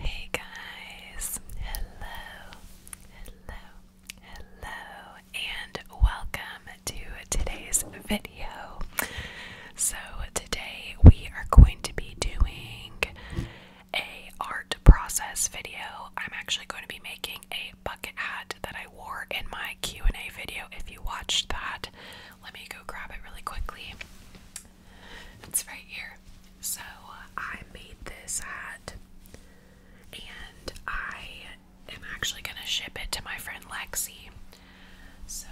Hey guys, hello, hello, hello, and welcome to today's video. So, today we are going to be doing a art process video. I'm actually going to be making a bucket hat that I wore in my Q&A video if you watched that. Let me go grab it really quickly. It's right here. So uh, I made this hat and I am actually going to ship it to my friend Lexi. So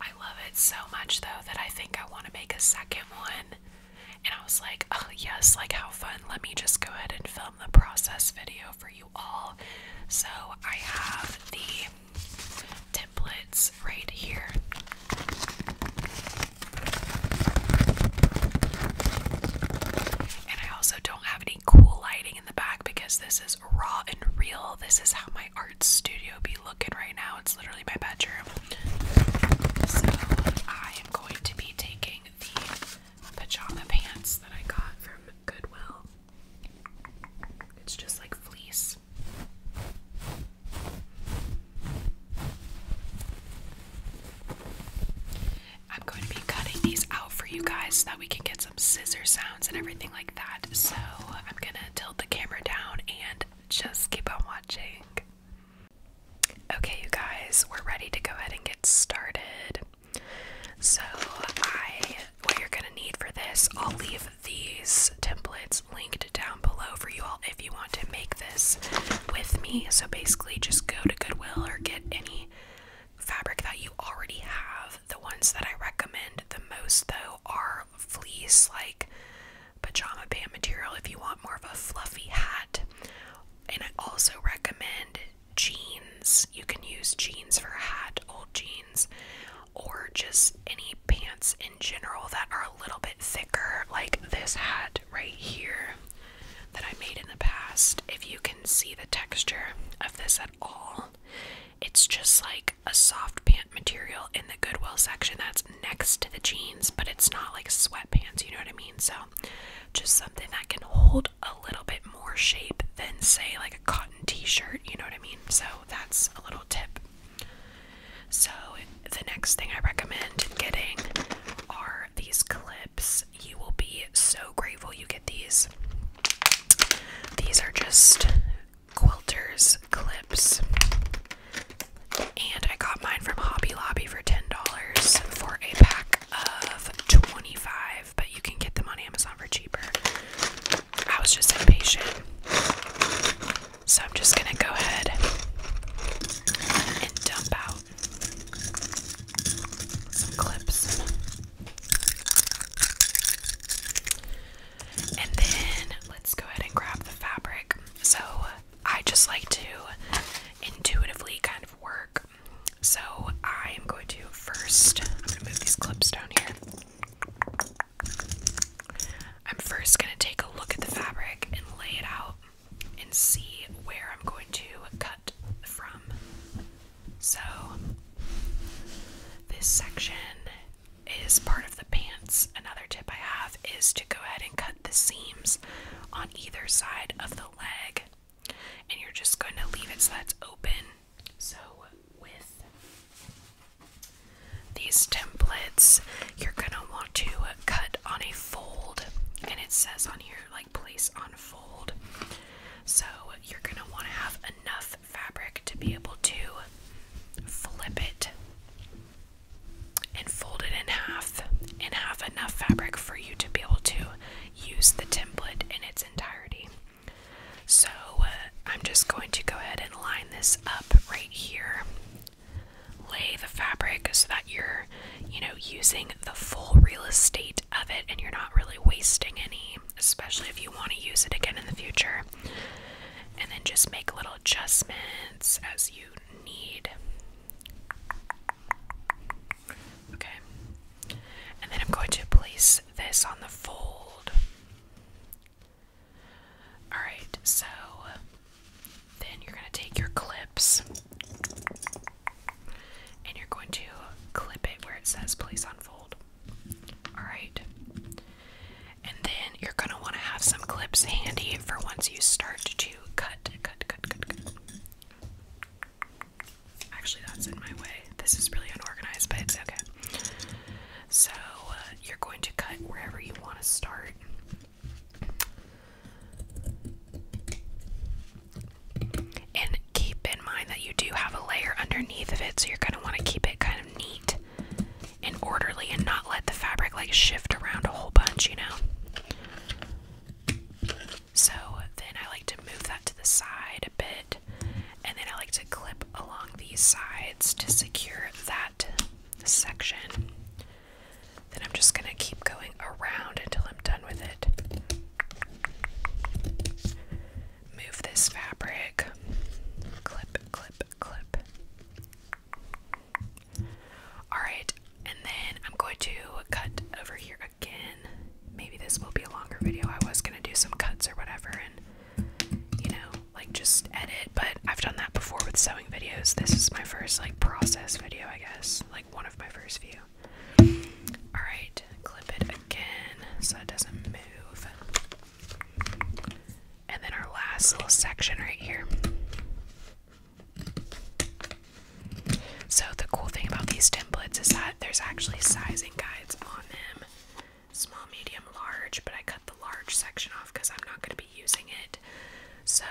I love it so much though that I think I want to make a second one. And I was like, oh, yes, like how fun. Let me just go ahead and film the process video for you all. So I have the Blitz right here. And I also don't have any cool lighting in the back because this is raw and real. This is how my art studio be looking right now. It's literally my bedroom. So I am going to be taking the pajama pants that I got from Goodwill. It's just like fleece. I'm going to be cutting these out for you guys so that we can get some scissor sounds and everything like that. So I'm going to tilt the camera down and just keep on watching. Okay, you guys, we're ready to go ahead and get started. So, I what you're going to need for this, I'll leave these templates that's linked down below for you all if you want to make this with me. So basically, just go to Goodwill or get any fabric that you already have. The ones that I recommend the most, though, are fleece like pajama band material if you want more of a fluffy hat. And I also recommend jeans. You can use jeans for a hat, old jeans, or just any pants in general that are a little bit thicker, like this hat right here that I made in the past, if you can see the texture of this at all, it's just like a soft pant material in the Goodwill section that's next to the jeans, but it's not like sweatpants, you know what I mean? So, just something that can hold a little bit more shape than, say, like a cotton t shirt, you know what I mean? So, that's a little tip so, the next thing I recommend getting are these clips. You will be so grateful you get these. These are just quilters clips. And I got mine from Hobby Lobby for $10 for a pack of 25, but you can get them on Amazon for cheaper. I was just impatient. So I'm just going to go ahead and dump out clips. And then let's go ahead and grab the fabric. So I just like to intuitively kind of work. So I am going to first, I'm going to move these clips down here. I'm first going to take a look at the fabric and lay it out and see where I'm going to cut from. So, this section is part of the pants. Another tip I have is to go ahead and cut the seams on either side of the leg, and you're just going to leave it so that's open. So, with these templates, you're gonna want to cut on a fold, and it says on here like place on fold. So you're gonna want to have enough fabric to be able to flip it and fold it in half, and have enough fabric for you to be able to use the template in its entirety. So uh, I'm just going to go ahead and line this up right here lay the fabric so that you're, you know, using the full real estate of it and you're not really wasting any, especially if you want to use it again in the future. And then just make little adjustments as you need. Okay. And then I'm going to place this on the fold. Alright, so then you're going to take your clips and you're going to clip it where it says place unfold. Alright. And then you're going to want to have some clips handy for once you start to cut, cut, cut, cut, cut. Actually, that's in my way. This is really unorganized, but it's okay. So, uh, you're going to cut wherever you want to start. And keep in mind that you do have a layer underneath of it, so you're going to want to keep it kind of neat and orderly and not let the fabric like shift around a whole bunch, you know. So then I like to move that to the side a bit, and then I like to clip along these sides to secure that section. Then I'm just going to keep going around until I'm done with it. Move this fabric. Clip, clip, clip. Alright, and then I'm going to cut over here again. Maybe this will be a longer video. I was going to do some cuts or whatever, and you know, like just edit, but I've done that before with sewing videos. This is my first like process video, I guess, like one of my first few. All right, clip it again so it doesn't move. And then our last little section right here. So the cool thing about these templates is that there's actually sizing guides on them. Small, medium, large, but I cut the large section off because I'm not going to be using it. So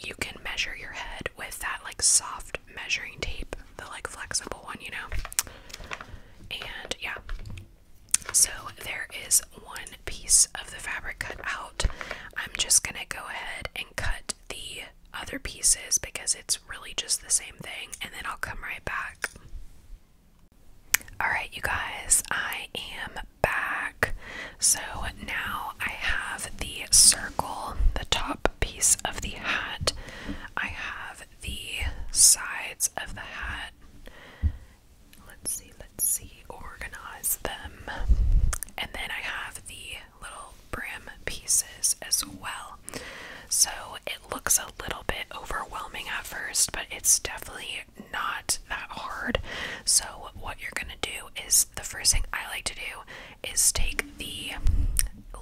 you can measure your head with that like soft measuring tape, the like flexible one, you know. And yeah. So there is one piece of the fabric cut out. I'm just going to go ahead and cut the other pieces because it's really just the same thing and then I'll come right back. Alright, you guys, I am back. So now I have the circle, the top piece of the hat. I have the sides of the hat. Let's see, let's see, organize them. And then I have the little brim pieces as well. So it looks a little bit overwhelming at first, but it's definitely not that hard. So, what you're gonna do is the first thing I like to do is take the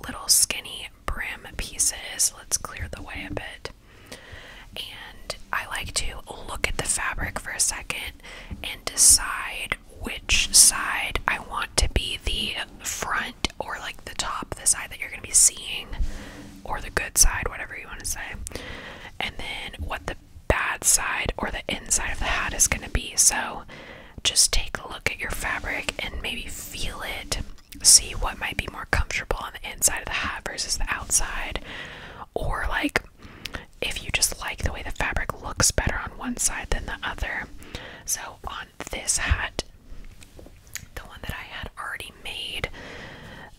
little skinny brim pieces. Let's clear the way a bit. And I like to look at the fabric for a second and decide which side I want to be the front or like the top, the side that you're going to be seeing, or the good side, whatever you want to say. And then what the bad side or the inside of the hat is going to be. So just take a look at your fabric and maybe feel it. See what might be more comfortable on the inside of the hat versus the outside. Or, like, if you just like the way the fabric looks better on one side than the other. So, on this hat, the one that I had already made,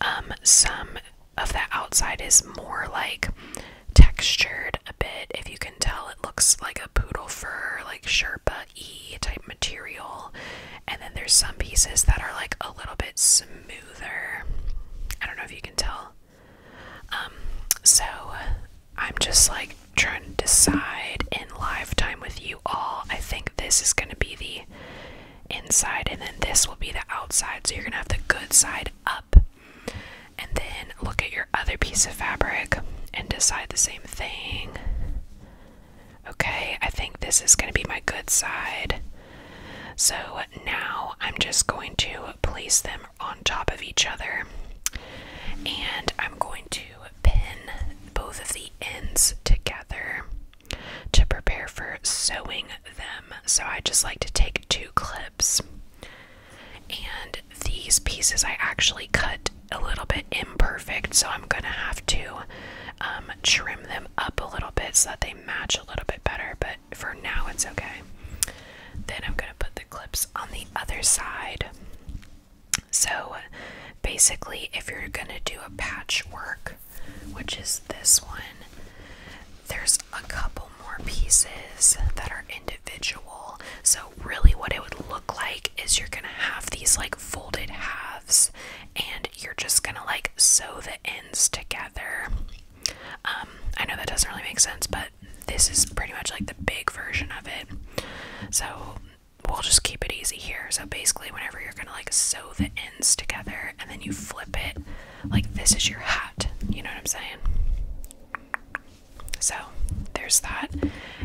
um, some of the outside is more like textured a bit. If you can tell, it looks like a poodle fur, like Sherpa E type material. And then there's some pieces that are like a little bit smoother. I don't know if you can tell. Um, so I'm just like trying to decide in live time with you all. I think this is going to be the inside, and then this will be the outside. So you're going to have the good side up. And then look at your other piece of fabric and decide the same thing. Okay, I think this is going to be my good side. So now I'm just going to place them on top of each other and I'm going to pin both of the ends together to prepare for sewing them. So I just like to take two clips and these pieces I actually cut a little bit imperfect, so I'm gonna have to um, trim them up a little bit so that they match a little bit better, but for now it's okay. Then I'm gonna put the clips on the other side. So basically, if you're gonna do a patchwork, which is this one, there's a couple more pieces that are individual. So, really, what it would look like is you're gonna have these like folded halves and you're just gonna like sew the ends together. Um, I know that doesn't really make sense, but this is pretty much like the big version of it. So, we'll just keep it easy here. So, basically, whenever you're gonna like sew the ends together and then you flip it like this is your hat. You know what I'm saying? So there's that.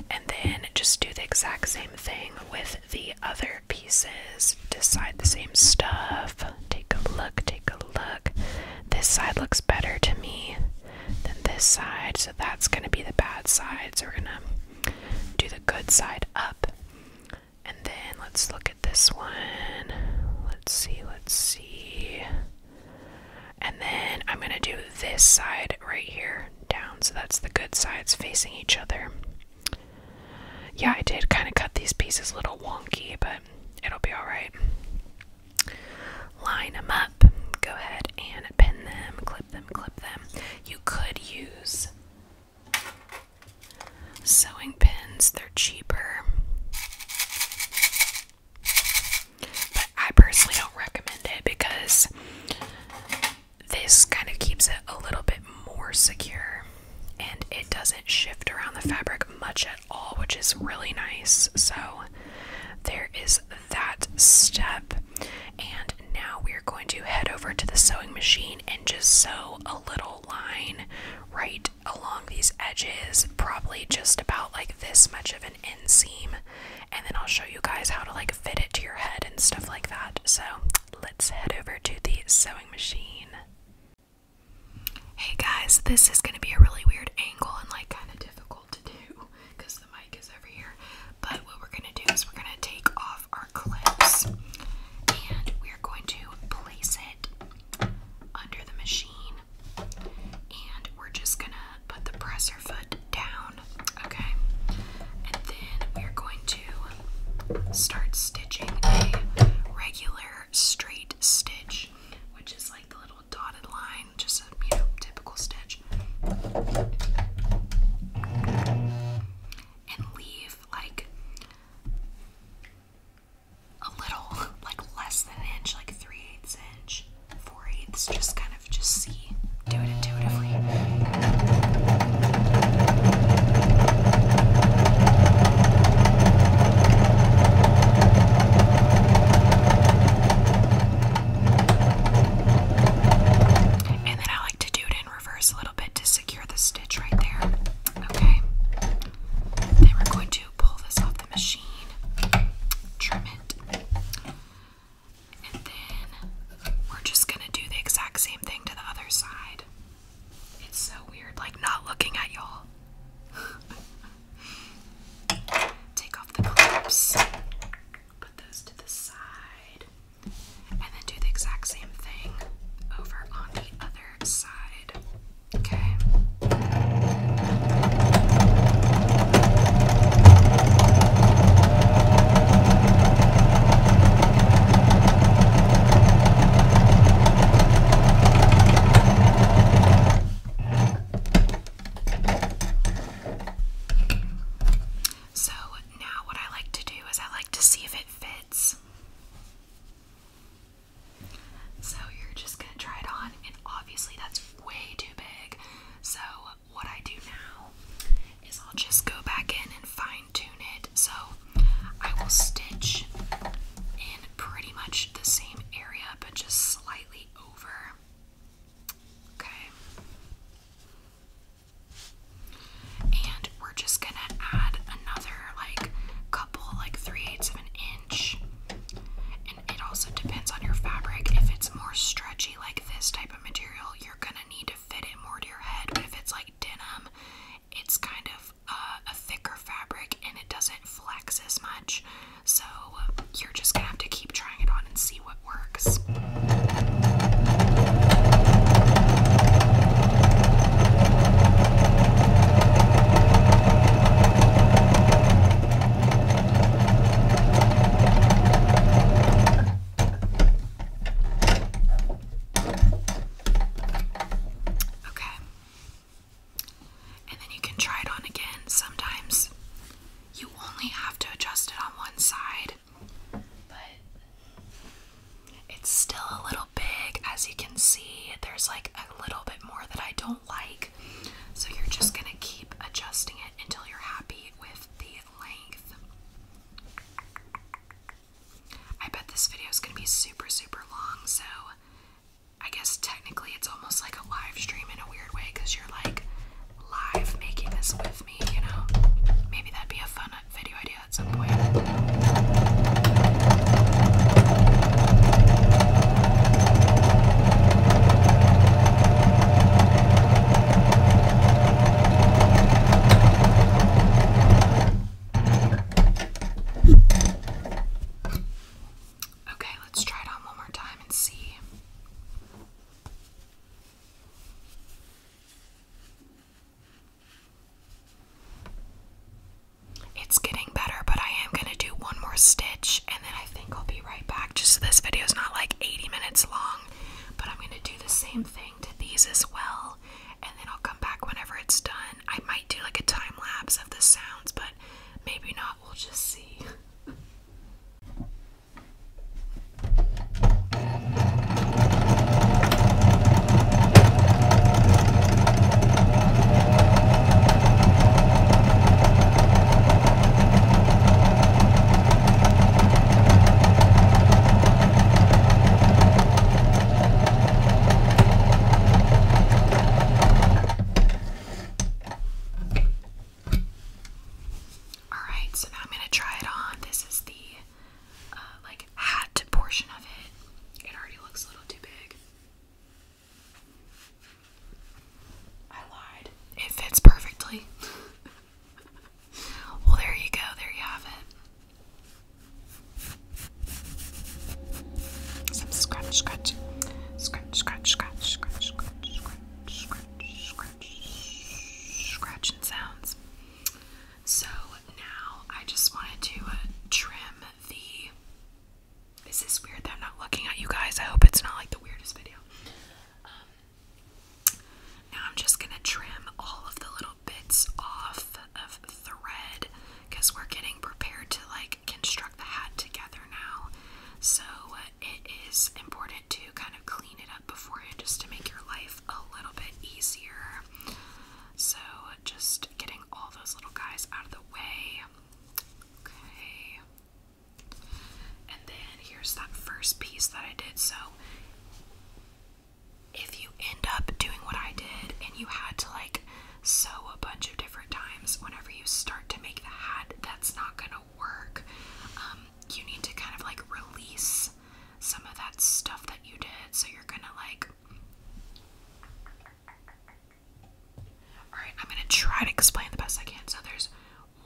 And then just do the exact same thing with the other pieces. Decide the same stuff. Take a look, take a look. This side looks better to me than this side. So that's going to be the bad side. So we're going to do the good side up. And then let's look at this one let's see, let's see. And then I'm going to do this side right here down. So that's the good sides facing each other. Yeah, I did kind of cut these pieces a little wonky, but it'll be alright. Line them up. Go ahead and pin them, clip them, clip them. You could use sewing pins, they're cheaper. But I personally don't recommend it because this kind of keeps it a little bit more secure and it doesn't shift around the fabric much at all, which is really nice. So, there is that step. And now we're going to head over to the sewing machine and just sew a little line right along these edges, probably just about like this much of an inseam. And then I'll show you guys how to like fit it to your head and stuff like that. So let's head over to the sewing machine. Hey guys, this is going to be a really weird angle and like kind of difficult to do because the mic is over here. But what we're going to do is we're going to take off our clips and we're going to place it under the machine and we're just gonna put the presser foot down, okay? And then we're going to start stitching a regular straight stitch, which is like the little dotted line, just a typical stitch. And leave like a little, like less than an inch, like three eighths inch, four eighths. Just kind of just see, do it intuitively. And then I like to do it in reverse a little bit to secure the stitch right there. Okay. Then we're going to pull this off the machine, trim it, and then we're just gonna do the exact same thing to the other side. It's so weird, like not looking at y'all. Take off the clips, put those to the side, and then do the exact same thing over on the other side. Okay. So now, what I like to do is I like to see if it fits. So you're just gonna try it on, and obviously that's way too big. So what I do now is I'll just go back in and fine tune it. So I will stitch in pretty much the same area, but just slightly over. Okay. And we're just gonna add another like couple, like three eighths of an inch. And it also depends on your fabric. If it's more stretchy, like this type of material, you're gonna need to fit it more to your head. But if it's like denim, it's kind of a thicker fabric and it doesn't flex as much. So you're just gonna have to keep trying it on and see what works. Okay. And then you can try it on again. Sometimes you only have to adjust it on one side, but it's still a little big. As you can see, there's like a little bit more that I don't like. So you're just going to keep adjusting it until you're happy with the length. I bet this video is going to be super, super long. So I guess technically it's almost like a live stream in a weird way because you're like live making this with me, you know? Maybe that'd be a fun video idea at some point. Okay, let's try it on one more time and see. It's getting better, but I am gonna do one more stitch and then I think I'll be right back. Just so this video is not like 80 minutes long, but I'm gonna do the same thing to these as well, and then I'll come back whenever it's done. I might do like a time lapse of the sounds, but maybe not. We'll just see. All right, so now I'm going to try it on. This is the uh, like hat portion of it. It already looks a little too big. I lied. It fits perfectly. well, there you go. There you have it. Some scratch, scratch. Scratch, scratch, scratch, scratch, scratch, scratch, scratch, scratch, scratching sounds. So now I just wanted to uh, trim the this is weird that I'm not looking at you guys. I hope it's not like the weirdest video. Um, now I'm just gonna trim all of the little bits off of thread because we're getting prepared to like construct the hat together now. So uh, it is important to kind of clean it up beforehand just to make your life a little bit easier. So just getting all those little guys out of the way. Okay. And then here's that first piece that I did. So if you end up doing what I did and you had to like sew a bunch of different times whenever you start to make the hat, that's not gonna work. Um, you need to kind of like release some of that stuff that you did. So you're gonna like Alright, I'm gonna try to explain the best I can. So there's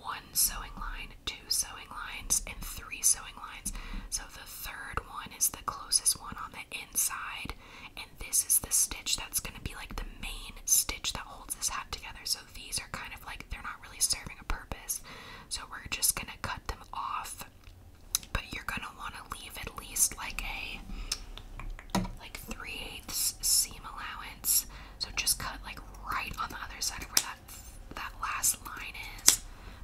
one sewing line, two sewing lines, and three sewing lines. So the third one is the closest one on the inside, and this is the stitch that's gonna be like the main stitch that holds this hat together. So these are kind of like they're not really serving a purpose. So we're just gonna cut them off. But you're gonna wanna leave at least like a like 3 eighths seam allowance. So just cut like right on the other side of where that that last line is,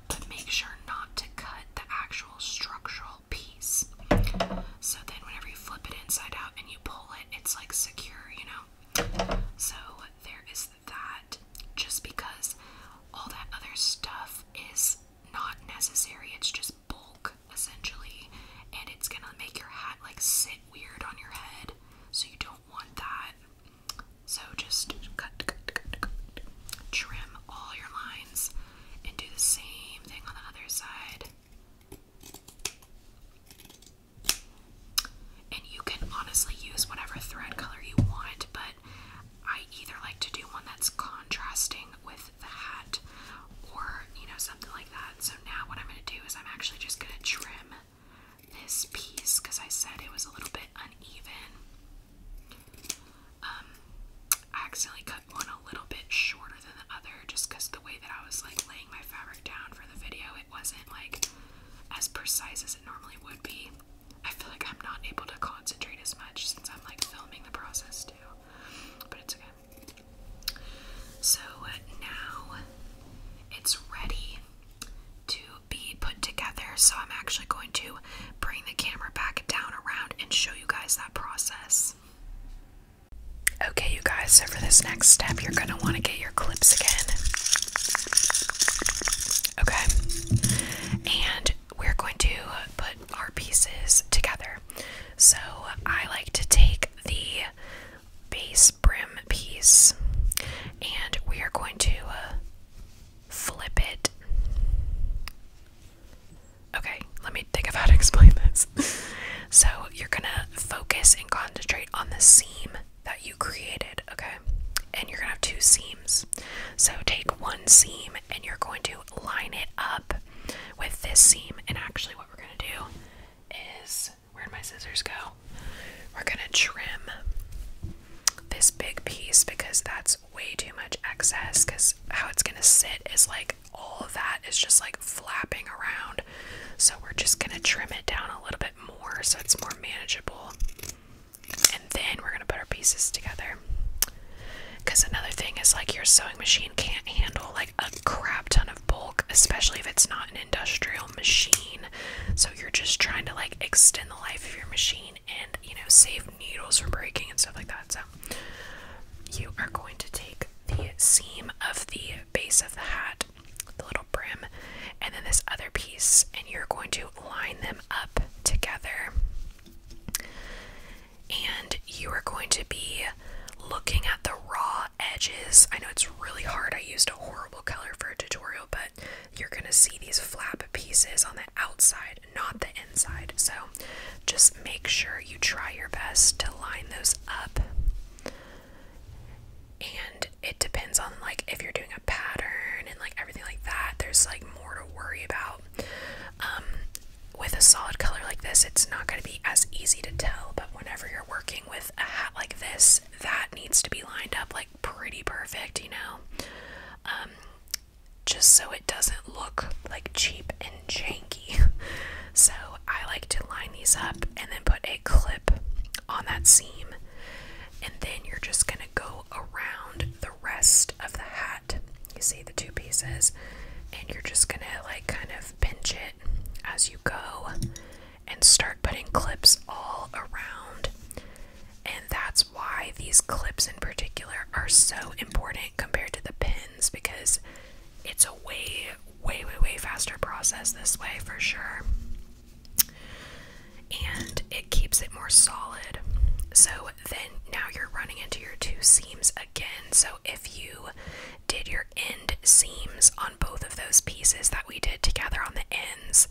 but make sure not to cut the actual structural piece. So then whenever you flip it inside out and you pull it, it's like secure, you know. So there is that just because all that other stuff is not necessary. It's just bulk essentially, and it's gonna make your hat like sit weird on your head, so you don't want that. So just cut, trim all your lines, and do the same thing on the other side. And you can honestly use whatever thread color you want, but I either like to do one that's contrasting with that or you know something like that. So now what I'm going to do is I'm actually just going to trim this piece because I said it was a little bit uneven. Um, I accidentally cut one a little bit shorter than the other just because the way that I was like laying my fabric down for the video, it wasn't like as precise as it normally would be. I feel like I'm not able to concentrate as much since I'm like filming the process too, but it's okay. So now it's ready to be put together. So I'm actually going to bring the camera back down around and show you guys that process. Okay, you guys, so for this next step, you're going to want to get your clips again. Okay. And we're going to put our pieces together. So I like to take the base brim piece and we are going to uh, flip it. Okay, let me think of how to explain this. so you're gonna focus and concentrate on the seam that you created, okay? And you're gonna have two seams. So take one seam and you're going to line it up with this seam. And actually, we're gonna do is where'd my scissors go? We're gonna trim this big piece because that's way too much excess. Because how it's gonna sit is like all of that is just like flapping around. So we're just gonna trim it down a little bit more so it's more manageable. And then we're gonna put our pieces together. Because another thing is like your sewing machine can't handle like a crap ton of bulk, especially if it's not an industrial machine. So you're just trying to like extend the life of your machine and you know save needles from breaking and stuff like that. So you are going to take the seam of the base of the hat, the little brim, and then this other piece, and you're going to line them up together and you are going to be looking at the raw edges. I know it's really hard. I used a horrible color for a tutorial, but you're going to see these flap pieces on the outside, not the inside. So just make sure you try your best to line those up. And it depends on like if you're doing a pattern and like everything like that. There's like more to worry about. Um, with a solid color like this, it's not going to be as easy to tell, but whenever you're working with a hat like this, that needs to be lined up like pretty perfect, you know? Um, just so it doesn't look like cheap and janky. So I like to line these up and then put a clip on that seam, and then you're just going to go around the rest of the hat. You see the two pieces, and you're just going to like kind of pinch it as you go and start putting clips all around. And that's why these clips in particular are so important compared to the pins because it's a way, way, way, way faster process this way for sure. And it keeps it more solid. So then now you're running into your two seams again. So if you did your end seams on both of those pieces that we did together on the ends.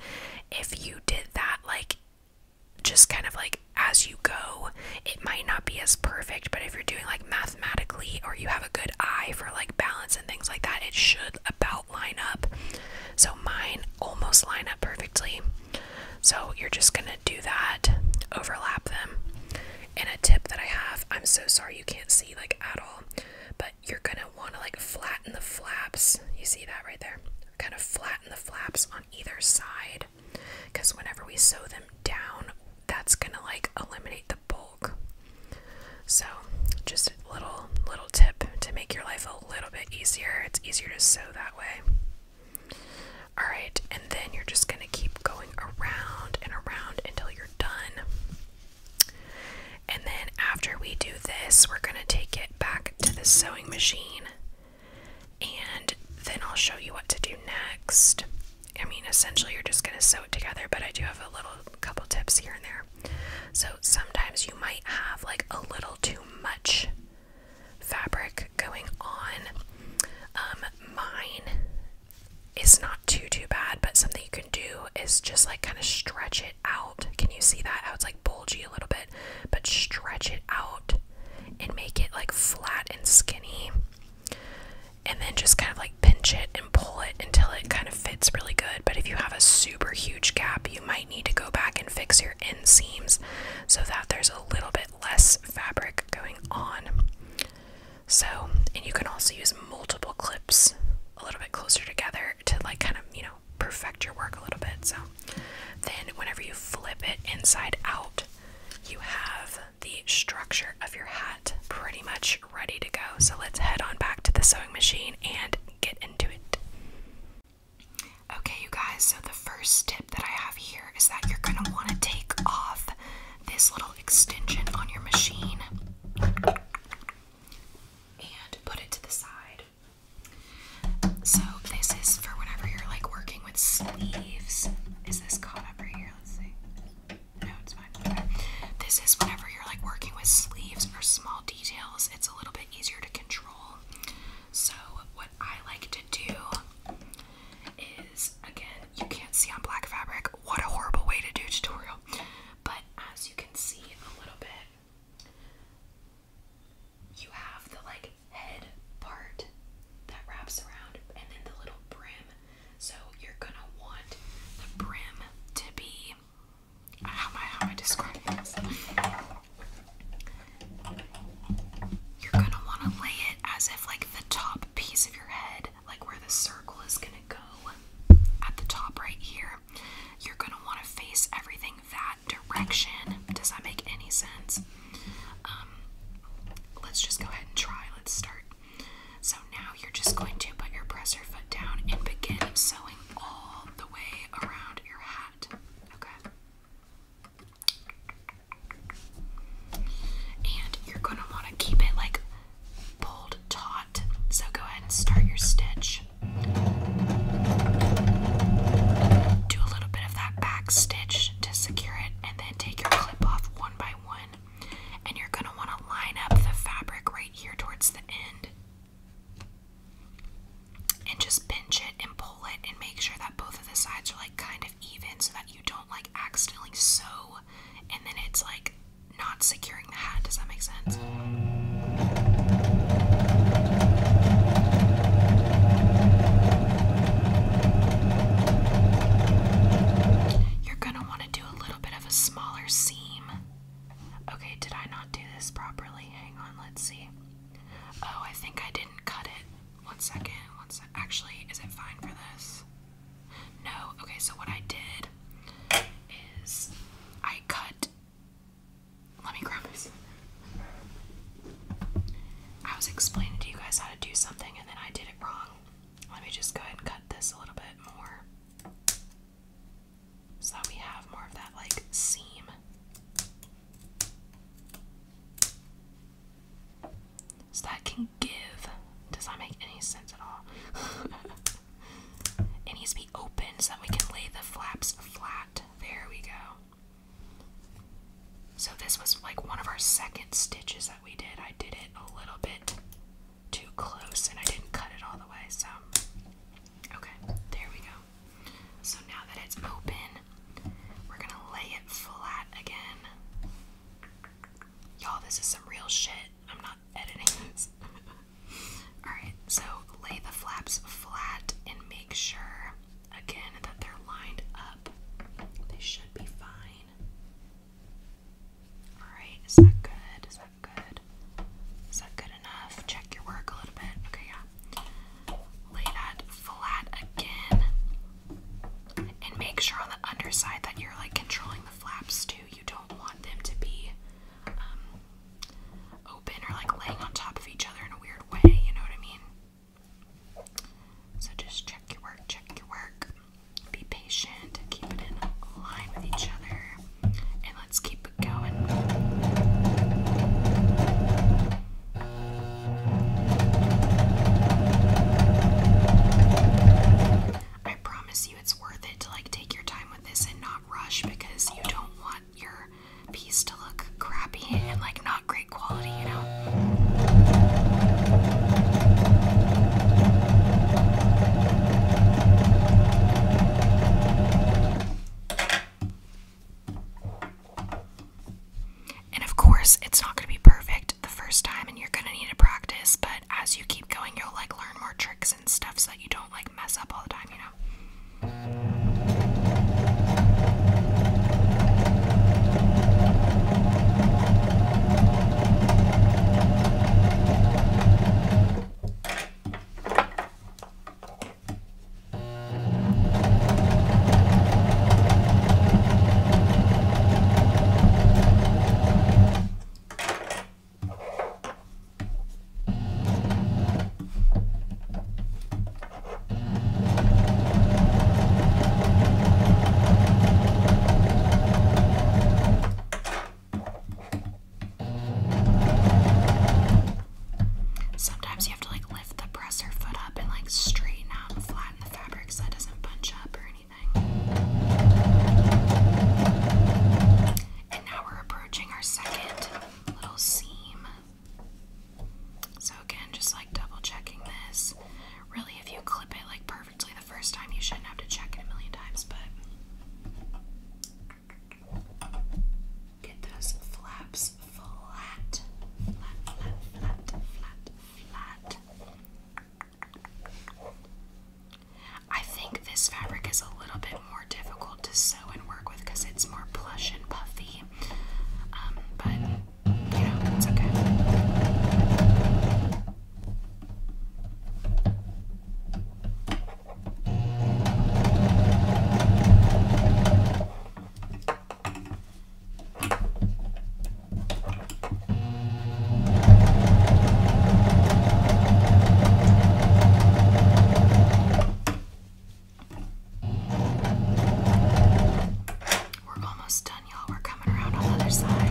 If you did that, like just kind of like as you go, it might not be as perfect, but if you're doing like mathematically or you have a good eye for like balance and things like that, it should about line up. So mine almost line up perfectly. So you're just gonna do that, overlap them, and a tip that I have, I'm so sorry you can't see like at all, but you're gonna wanna like flatten the flaps. You see that right there? Kind of flatten the flaps on either side because whenever we sew them down, that's gonna like eliminate the bulk. So just a little little tip to make your life a little bit easier. It's easier to sew that way. Alright, and then you're just going to keep going around and around until you're done. And then after we do this, we're going to take it back to the sewing machine and then I'll show you what to do next. I mean, essentially, you're just going to sew it together, but I do have a little couple tips here and there. So sometimes you might have like a little too much fabric going on. Um, mine it's not too too bad but something you can do is just like kind of stretch it out can you see that how it's like bulgy a little bit but stretch it out and make it like flat and skinny and then just kind of like pinch it and pull it until it kind of fits really good but if you have a super huge gap you might need to go back and fix your inseams so that there's a little bit less fabric going on so, and you can also use multiple clips a little bit closer together to like kind of, you know, perfect your work a little bit. So, then whenever you flip it inside out, you have the structure of your hat pretty much ready to go. So, let's head on back to the sewing machine and get into it. Okay, you guys, so the first tip that I have here is that you're going to want to take off this little extension on your machine and put it to the side. So this is for whenever you're like working with sleeves. Is this caught up right here? Let's see. No, it's fine. This is whenever you're like working with sleeves or small details, it's a little bit easier to control. So what I like to do is again, you can't see on black fabric. What a horrible way to do a tutorial. But as you can see a little bit, you have the like head part that wraps around and then the little brim. So you're gonna want the brim to be how am I how am I describing this? You're gonna wanna lay it as if like the top piece of your head like where the circle is going to go at the top right here, you're going to want to face everything that direction. Does that make any sense? Um, let's just go ahead and try. Let's start. So now you're just going to put your presser foot down and begin sewing all the way around your hat. Okay. And you're going to want to keep it like pulled taut. So go ahead and start your stitch. Do a little bit of that back stitch to secure it, and then take your clip off one by one. And you're going to want to line up the fabric right here towards the end. And just pinch it and pull it and make sure that both of the sides are like kind of even so that you don't like accidentally sew and then it's like not securing the hat. Does that make sense? You're gonna want to do a little bit of a smaller seam. Okay, did I not do this properly? Hang on, let's see. Oh, I think I didn't cut it. One second, one Actually, is it fine for this? No, okay, so what I did is I cut. Let me grab this. I was explaining to you guys how to do something and then I did it wrong. Let me just go ahead and cut this a little bit more so that we have more of that like seam. So that can give. Does that make any sense at all? it needs to be open so we can lay the flaps flat. There we go. So this was like one of our second stitches that we did. I did it a little bit too close and I didn't cut it all the way, so okay, there we go. So now that it's open, we're gonna lay it flat again. Y'all, this is some real shit. I'm not editing this. Alright, so lay the flaps flat and make sure, again, that they're lined up. They should be fine. Alright, is that good? Is that good? Is that good enough? Check your work a little bit. Okay, yeah. Lay that flat again. And make sure on the underside that you're like controlling the flaps too. You don't want them to be um, open or like laying on top of each other in a weird way, you know what I mean? So just check your work, check your work. Be patient, keep it in line with each other, and let's keep it going. I promise you it's worth it to like take your time with this and not rush because you don't want your piece to look crappy and like not great quality, you know. And of course, it's not going to be perfect the first time, and you're going to need to practice, but as you keep going, you'll like learn more tricks and stuff so that you don't like mess up all the time, you know. Sometimes you have to like lift the presser foot up and like straighten out and flatten the fabric so it doesn't bunch up or anything. And now we're approaching our second little seam. So again, just like double checking this. Really, if you clip it like perfectly the first time, you shouldn't have to check it a million times, but get those flaps flat. Flat, flat, flat, flat, flat. I think this fabric is a little bit more difficult to sew and work with because it's more plush and puffy. Um, but, you know, it's okay. We're almost done, y'all. We're coming around on the other side.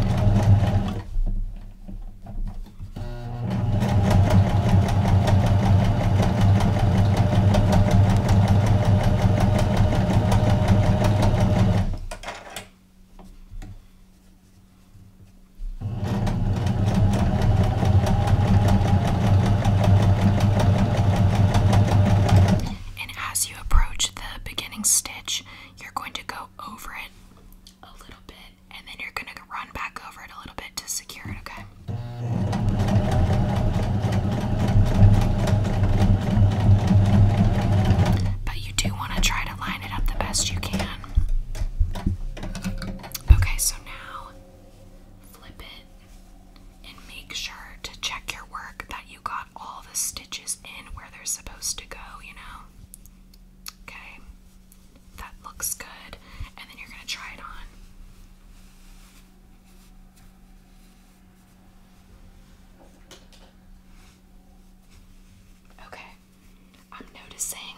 And as you approach the beginning stitch, you're going to go over it a little bit and then you're going to run back over it a little bit to secure it, okay? But you do want to try to line it up the best you can. Okay, so now flip it and make sure to check your work that you got all the stitches in where they're supposed to go, you know? Okay, that looks good. And then you're going to try it on. Okay, I'm noticing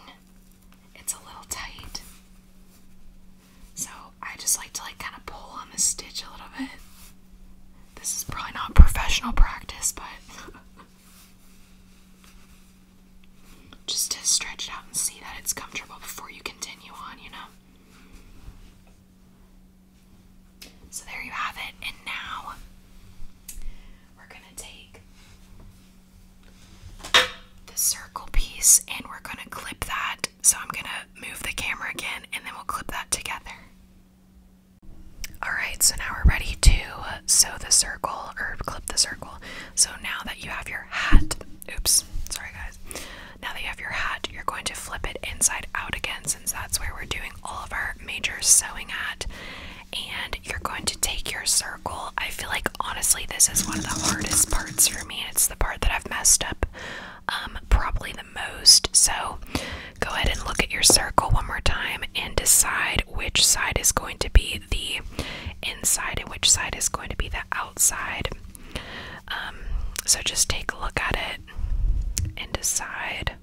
it's a little tight. So I just like to like kind of pull on the stitch a little bit. This is probably not professional practice, but just to stretch it out and see that it's comfortable before you continue on, you know? So there you have it. And now we're going to take the circle piece and we're going to clip that. So I'm going to move the camera again and then we'll clip that together. Alright, so now we're ready to sew the circle or clip the circle. So now that you have your hat, oops, sorry guys. Now that you have your hat, you're going to flip it inside out again since that's where we're doing all of our major sewing at and you're going to take your circle. I feel like honestly, this is one of the hardest parts for me, it's the part that I've messed up um, probably the most. So go ahead and look at your circle one more time and decide which side is going to be the inside and which side is going to be the outside. Um, so just take a look at it and decide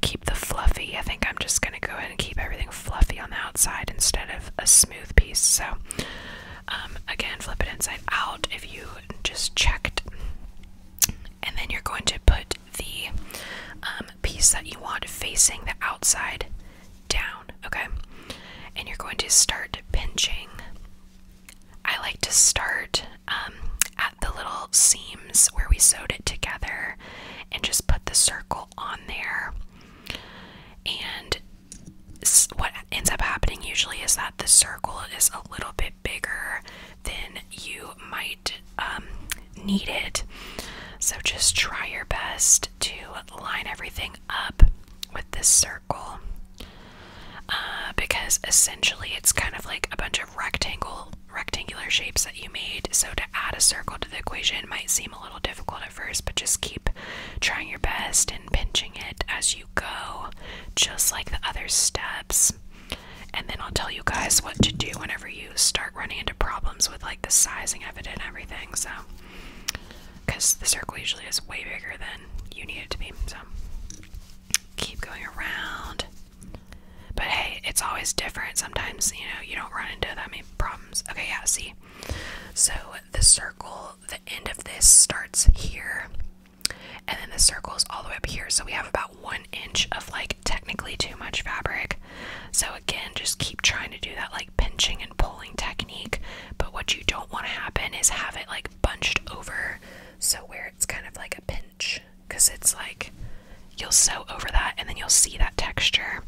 keep the fluffy. I think I'm just going to go ahead and keep everything fluffy on the outside instead of a smooth piece. So, um, again, flip it inside out if you just checked. And then you're going to put the um, piece that you want facing the outside down, okay? And you're going to start pinching. I like to start um, at the little seams where we sewed it together and just put the circle on there. And what ends up happening usually is that the circle is a little bit bigger than you might um, need it. So just try your best to line everything up with this circle uh, because essentially it's kind of like a bunch of rectangle rectangular shapes that you made. So to add a circle to the equation might seem a little difficult at first, but just keep trying your best and pinching it as you go, just like the other steps. And then I'll tell you guys what to do whenever you start running into problems with like the sizing of it and everything. So, because the circle usually is way bigger than you need it to be. So, keep going around. But hey, it's always different. Sometimes, you know, you don't run into that many problems. Okay, yeah, see? So the circle, the end of this starts here. And then the circle is all the way up here. So we have about one inch of like technically too much fabric. So again, just keep trying to do that like pinching and pulling technique. But what you don't want to happen is have it like bunched over. So where it's kind of like a pinch because it's like you'll sew over that and then you'll see that texture.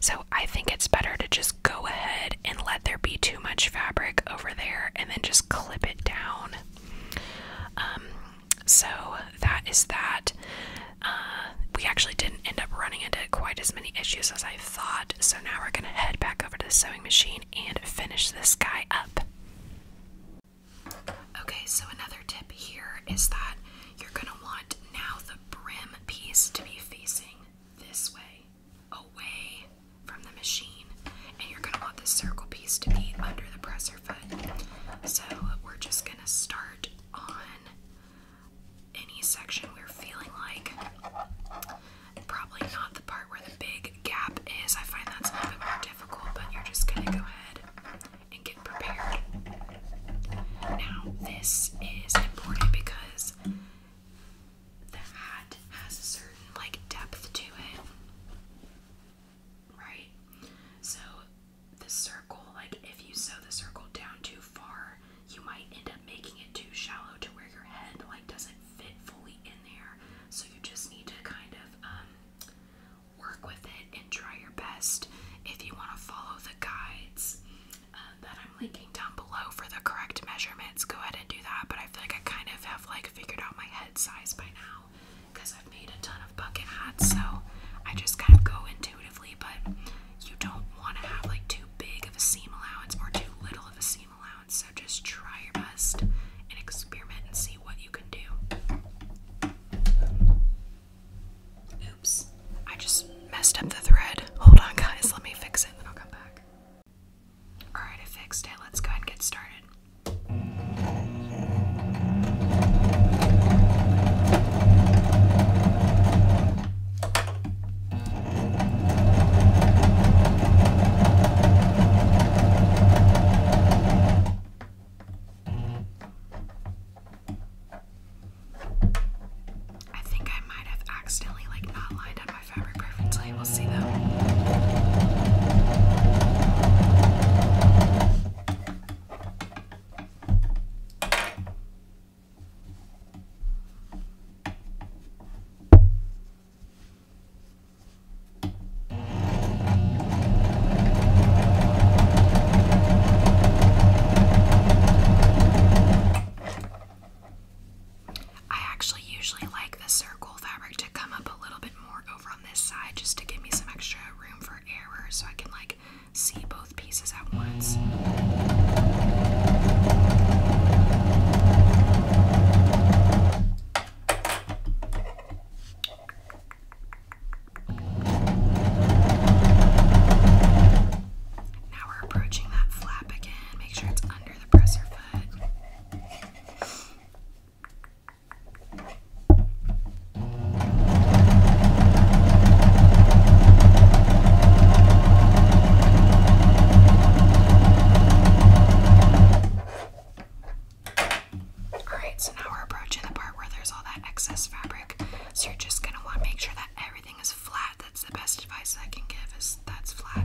So I think it's better to just go ahead and let there be too much fabric over there and then just clip it down. Um, so that is that. Uh, we actually didn't end up running into quite as many issues as I thought, so now we're going to head back over to the sewing machine and finish this guy up. Okay, so another tip here is that you're gonna want now the brim piece to be facing this way, away from the machine, and you're gonna want the circle piece to be under the presser foot. So we're just gonna start on any section we're feeling like. Probably not the part where the big gap is. I find that's a little bit more difficult, but you're just gonna go ahead and get prepared. Now, this is important because the hat has a certain like depth to it. Right? So the circle, like if you sew the circle down too far, you might end up making it too shallow to where your head like doesn't fit fully in there. So you just need to kind of um, work with it and try your best if you want to follow the guides um, that I'm linking down below for the correct measurements. Go ahead and do that. But I feel like I kind of have like figured out my head size by now because I've made a ton of bucket hats, so I just kind of go intuitively. But you don't want to have like too big of a seam allowance or too little of a seam allowance, so just try your best and experiment and see what you can do. Oops. I just messed up the thread. Hold on, guys. Let me fix it, then I'll come back. Alright, I fixed it. Let's go ahead and get started. I think I might have accidentally like not lined up my fabric preference labels. See though. I actually usually like the circle fabric to come up a little bit more over on this side just to give me some extra room for error so I can like see both pieces at once. Now we're approaching that flap again. Make sure it's under the presser foot. Alright, so now we're approaching the part where there's all that excess fabric. So you're just gonna want to make sure that everything is flat. That's the best advice I can give is that's flat.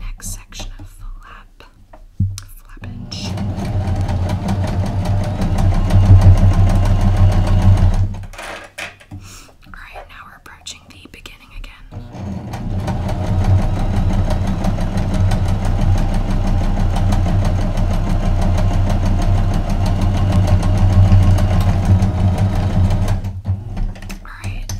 Next section of flap, flappage. Alright, now we're approaching the beginning again. Alright,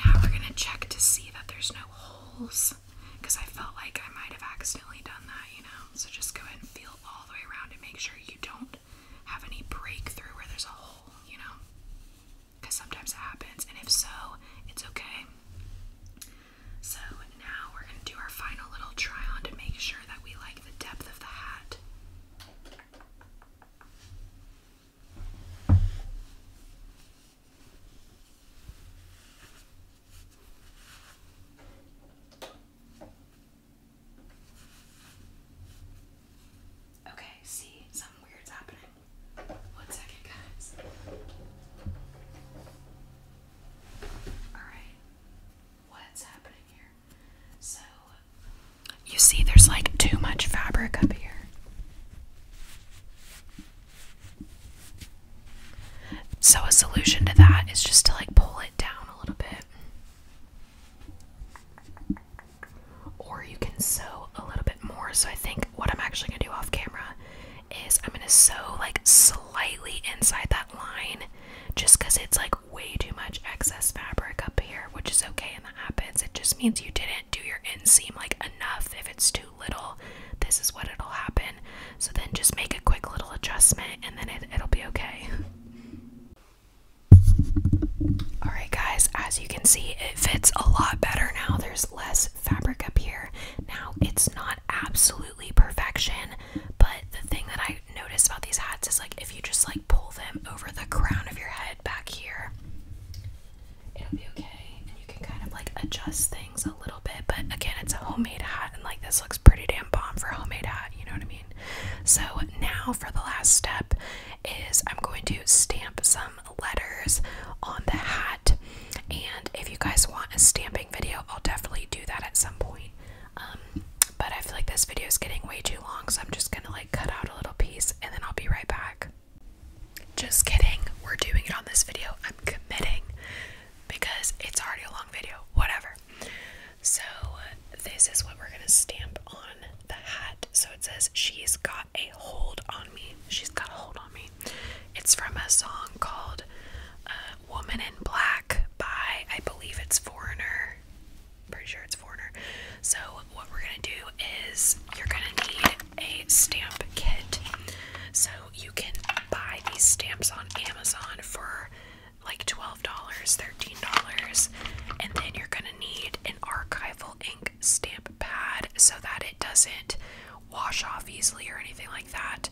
now we're gonna check to see that there's no holes because I felt like I might have accidentally done that, you know. So just go and feel all the way around and make sure you don't have any breakthrough where there's a hole, you know, because sometimes it happens, and if so, it's okay. So now we're gonna do our final little try on to make sure that we like the depth of the hat. Okay, see, something weird's happening. One second, guys. Alright you see, there's like too much fabric up here. So, a solution to that is just to like pull it down a little bit. Or you can sew a little bit more. So, I think what I'm actually going to do off camera is I'm going to sew like slightly inside that line just because it's like way too much excess fabric up here, which is okay and that happens. It just means you didn't do your inseam like enough. If it's too little, this is what it'll happen. So then just make a quick little adjustment and then it, it'll be okay. Alright, guys, as you can see, it fits a lot better now. There's less fabric up here. Now, it's not absolutely perfection, but the thing that I notice about these hats is like if you just like pull them over the crown of your head back here, it'll be okay. And you can kind of like adjust things a little bit. But again, it's a homemade hat, and like this looks pretty damn bomb for a homemade hat, you know what I mean? So now for the last step is I'm going to stamp some letters on the hat. And if you guys want a stamping video, I'll definitely do that at some point. Um, but I feel like this video is getting way too long, so I'm just gonna like cut out a little piece and then I'll be right back. Just kidding, we're doing it on this video. I'm committing because it's already a long video, whatever. So, this is what we're gonna stamp on the hat. So it says, She's Got a Hold on Me. She's Got a Hold on Me. It's from a song called uh, Woman in Black by, I believe it's Foreigner pretty sure it's foreigner. So what we're gonna do is you're gonna need a stamp kit. So you can buy these stamps on Amazon for like $12, $13, and then you're gonna need an archival ink stamp pad so that it doesn't wash off easily or anything like that.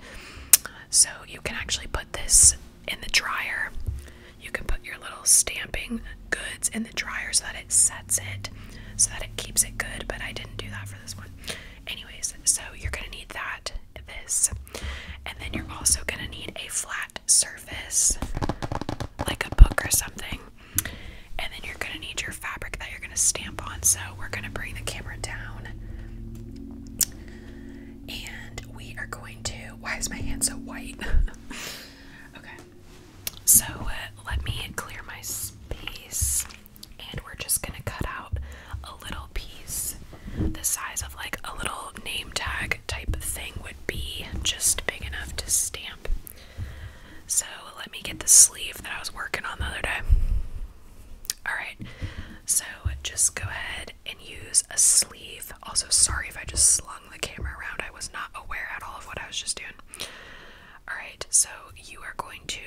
So you can actually put this in the dryer. You can put your little stamping goods in the dryer so that it sets it, so that it keeps it good, but I didn't do that for this one. Anyways, so you're gonna need that, this, and then you're also gonna need a flat surface, like a book or something. And then you're gonna need your fabric that you're gonna stamp on. So we're gonna bring the camera down. And we are going to. Why is my hand so white? Okay. So uh, let me clear my space and we're just going to cut out a little piece the size of like a little name tag type thing would be just big enough to stamp. So let me get the sleeve that I was working on the other day. Alright, so just go ahead and use a sleeve. Also, sorry if I just slide the camera around. I was not aware at all of what I was just doing. Alright, so you are going to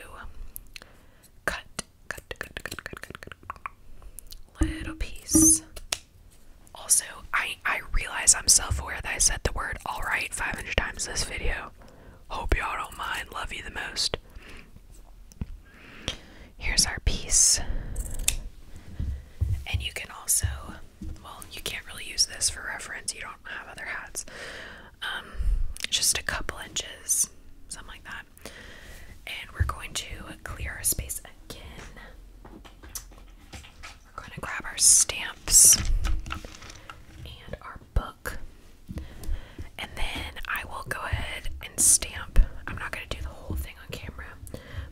cut. Little piece. Also, I, I realize I'm self aware that I said the word alright 500 times this video. Hope y'all don't mind. Love you the most. Here's our piece. And you can also well, you can't really use this for reference. You don't have other hats. Um, just a couple inches, something like that. And we're going to clear our space again. We're going to grab our stamps and our book. And then I will go ahead and stamp. I'm not going to do the whole thing on camera,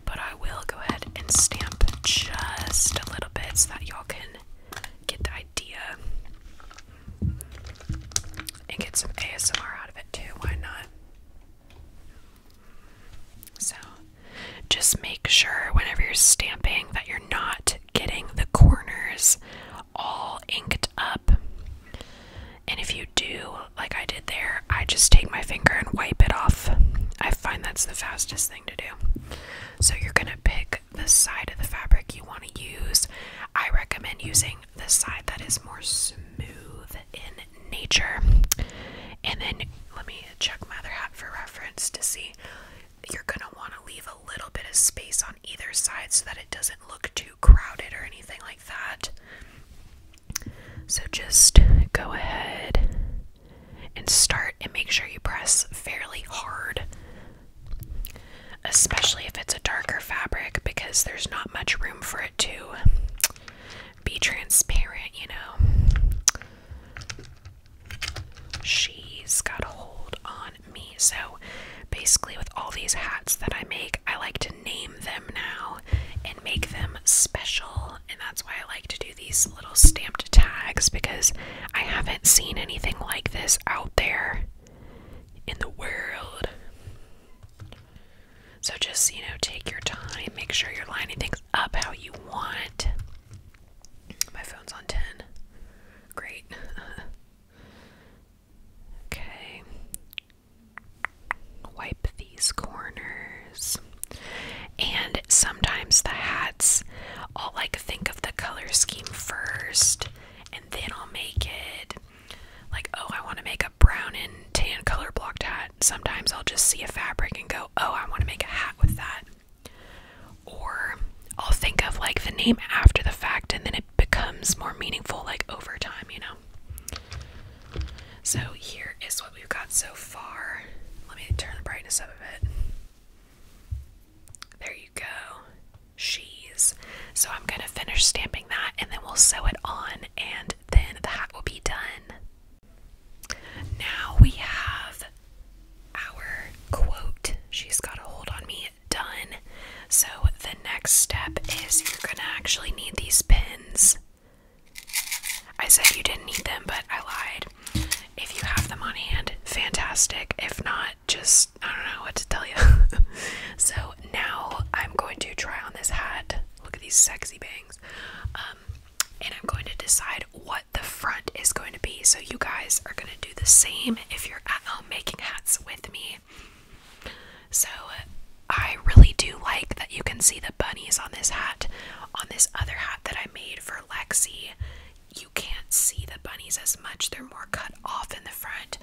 but I will go ahead and stamp just a little bit so that y'all can get the idea and get some ASMR out of it too. Why not? So, just make sure whenever you're stamping that you're not getting the corners all inked up. And if you do, like I did there, I just take my finger and wipe it off. I find that's the fastest thing to do. So you're going to pick the side of the fabric you want to use. I recommend using the side that is more smooth in nature. And then let me check my other hat for reference to see. You're going to want to leave a little bit of space on either side so that it doesn't look too crowded or anything like that. So just go ahead and start and make sure you press fairly hard, especially if it's a darker fabric because there's not much room for it to be transparent, you know. She's got hold on me. So basically, with all these hats that I make, I like to name them now make them special. And that's why I like to do these little stamped tags because I haven't seen anything like this out there in the world. So just, you know, take your time, make sure you're lining things up how you want. My phone's on 10. Great. okay. Wipe these corners. And sometimes the hats, I'll like think of the color scheme first and then I'll make it. Like, oh, I want to make a brown and tan color blocked hat. Sometimes I'll just see a fabric and go, oh, I want to make a hat with that. Or I'll think of like the name after the fact and then it becomes more meaningful like over time, you know? So here is we've got so far. Let me turn the brightness up a bit. There you go. She's. So I'm going to finish stamping that and then we'll sew it on and then the hat will be done. Now we have our quote, She's Got a Hold on Me, done. So the next step is you're going to actually need these pins. I said you didn't need them, but I lied. If you have them on hand, fantastic. If not, just I don't know what to tell you. so now I'm going to try on this hat. Look at these sexy bangs. Um, and I'm going to decide what the front is going to be. So you guys are going to do the same if you're at home making hats with me. So I really do like that you can see the bunnies on this hat. On this other hat that I made for Lexi, you can't see the bunnies as much. They're more cut off in the front.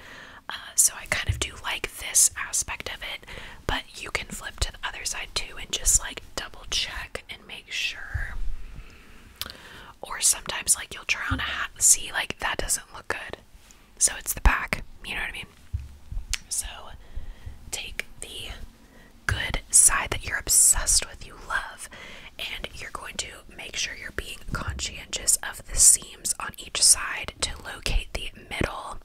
Uh, so I kind of do like this aspect of it, but you can flip to the other side too and just like double check and make sure. Or sometimes like you'll draw on a hat and see like that doesn't look good. So it's the back, you know what I mean? So take the good side that you're obsessed with, you love, and you're going to make sure you're being conscientious of the seams on each side to locate the middle,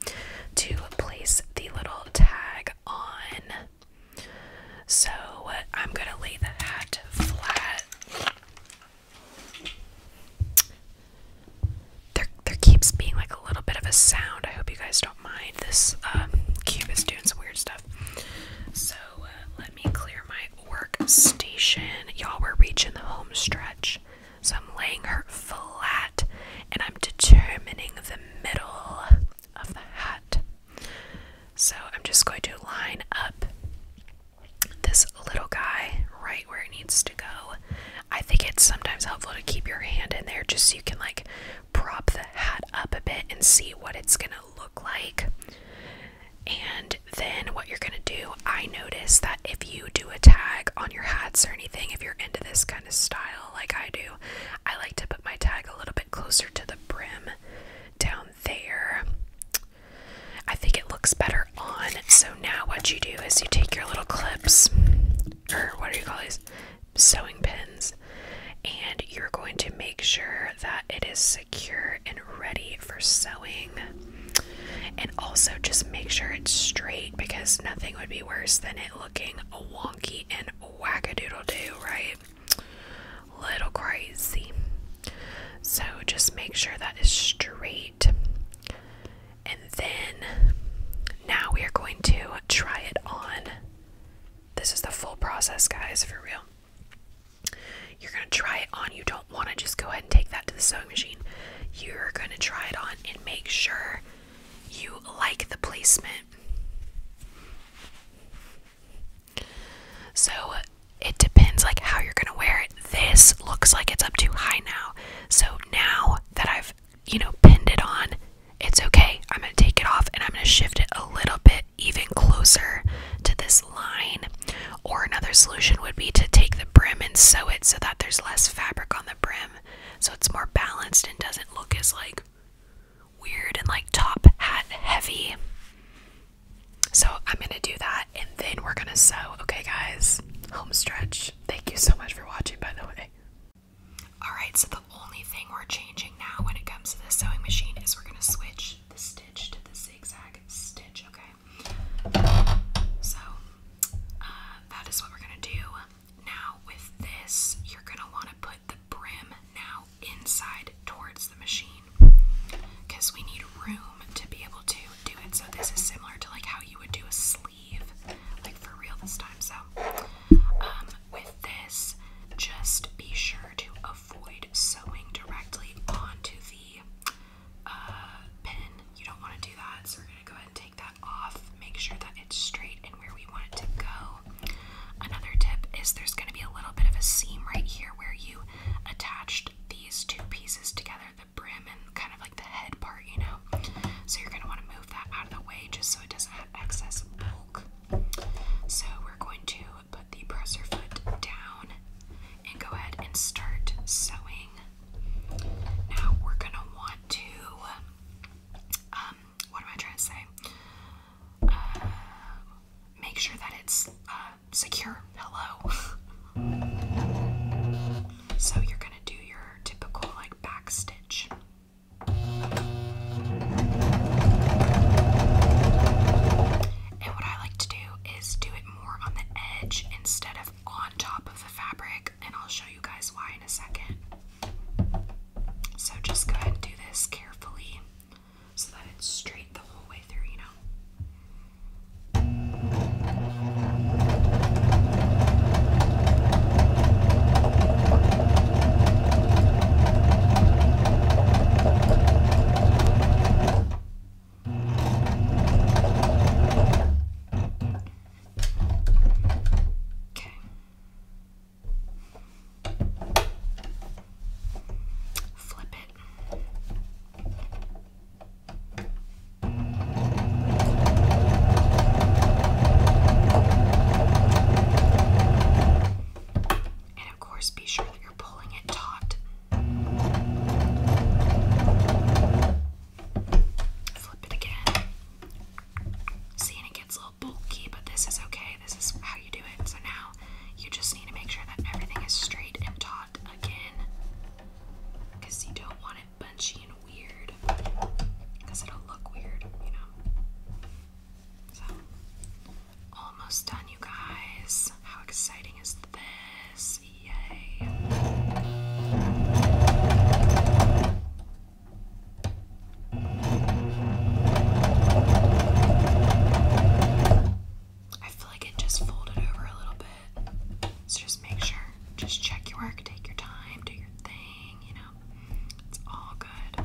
to place the little tag on. So I'm going to lay the hat flat. There, there keeps being like a little bit of a sound. I hope you guys don't mind. This uh, cube is doing some weird stuff. So uh, let me clear my workstation. Y'all, we're reaching the homestretch. So I'm laying her flat and I'm determining the middle of the hat. So I'm just going to line up this little guy right where it needs to go. I think it's sometimes helpful to keep your hand in there just so you can like prop the hat up a bit and see what it's going to look like. And then what you're going to do, I notice that if you do a tag on your hats or anything, if you're into this kind of style like I do, I like to put my tag a little bit closer to the brim down there. I think it looks better on. So now what you do is you take your little clips or what do you call these? sewing pins, and you're going to make sure that it is secure and ready for sewing. And also just make sure it's straight because nothing would be worse than it looking wonky and wackadoodle do, right? Little crazy. So just make sure that is straight. And then now we are going to try it on this is the full process, guys, for real. You're going to try it on. You don't want to just go ahead and take that to the sewing machine. You're going to try it on and make sure you like the placement. So it depends like how you're going to wear it. This looks like it's up too high now. So now that I've you know, pinned it on, it's okay. I'm going to take it off and I'm going to shift it a little bit even closer to this line. Or another solution would be to take the brim and sew it so that there's less fabric on the brim so it's more balanced and doesn't look as like weird and like top hat heavy. So I'm going to do that and then we're going to sew. Okay guys, home stretch. Thank you so much for watching by the way. Alright, so the only thing we're changing now when it comes to the sewing machine is we're going to switch the stitch to the zigzag stitch, okay? So, uh, that is what we're going to do. Now, with this, you're going to want to put the brim now inside towards the machine because we need room to be able to do it. So, this is similar to like how you would do a sleeve, like for real this time. So, um, with this, just be sure to avoid sewing directly onto the uh, pin. You don't want to do that, so we're going to go ahead and take that off. Make sure that it's straight and where we want it to go. Another tip is there's going to be a little bit of a seam right here where you attached these two pieces together, the brim and kind of like the head part, you know. So you're going to want to move that out of the way just so it doesn't have excess bulk. So we're going to put the presser foot down and go ahead and start sewing. Now we're gonna want to, um, what am I trying to say? Uh, make sure that it's uh, secure. Hello. so you're gonna do your typical like back stitch. And what I like to do is do it more on the edge instead of on top of the fabric, and I'll show you guys why in a second. So just go ahead and do this carefully so that it's straight the whole way through, you know. Okay. Flip it. Okay. And of course, be sure that you're pulling it taut. Flip it again. See, it gets a little bulky, but this is okay. This is how you do it. So now you just need to make sure that everything is straight and taut again. Because you don't want it bunchy and weird. Because it'll look weird, you know almost done, you guys. How exciting is this? Yay! I feel like it just folded over a little bit. So just make sure, just check your work, take your time, do your thing, you know. It's all good.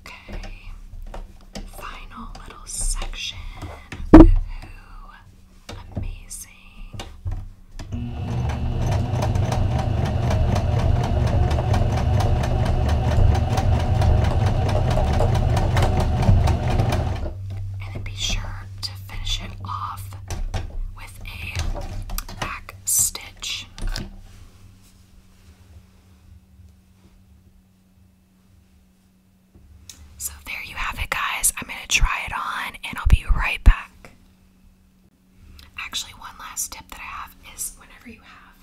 Okay. Final little section. Amazing. And be sure to finish it off with a back stitch. So, there you have it, guys. I'm going to try it on and I'll be right back. Actually, one last tip that I have is whenever you have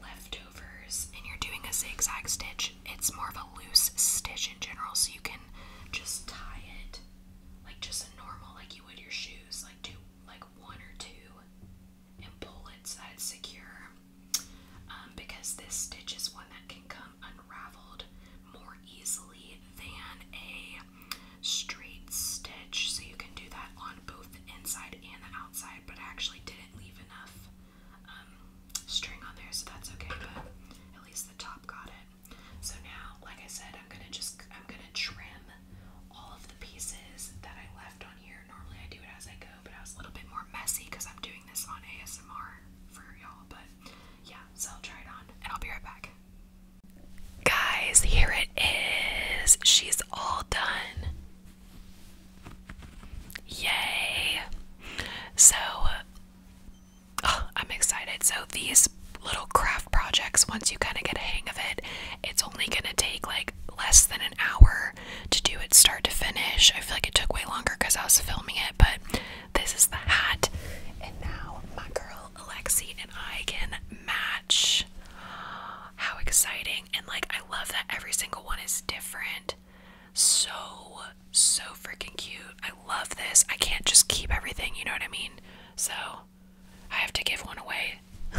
leftovers and you're doing a zigzag stitch, it's more of a loose stitch in general, so you can just tie it like just normal, like you would your shoes, like do like one or two and pull it so that it's secure um, because this stitch is one that can come unraveled more easily than a straight stitch. So you can do that on both the inside and the outside, but I actually didn't leave enough um, string on there, so that's okay, but at least the top got it. So now, like I said, I'm gonna just, I'm gonna trim all of the pieces that I left on here Normally I do it as I go, but I was a little bit more messy because I'm doing this on ASMR for y'all. But yeah, so I'll try it on and I'll be right back. Guys, here it is. She's all done. Yay. So I'm excited. So these little craft projects, once you kind of get a hang of it, it's only going to take like less than an hour to do it start to finish. I feel like it took way longer because I was filming it, but this is the hat. And now my girl Alexi and I can match. How exciting! And like, I love that every single one is different. So, so freaking cute. I love this. I can't just keep everything, you know what I mean? So, I have to give one away.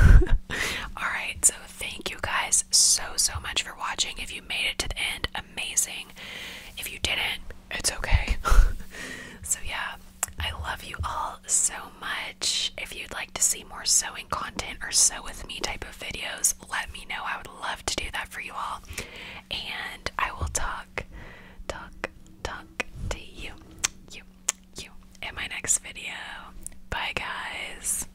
Alright, so thank you guys so so much for watching. If you made it to the end, amazing. If you didn't, it's okay. so yeah, I love you all so much. If you'd like to see more sewing content or sew with me type of videos, let me know. I would love to do that for you all. And I will talk, talk, talk to you, you, you in my next video. Bye guys.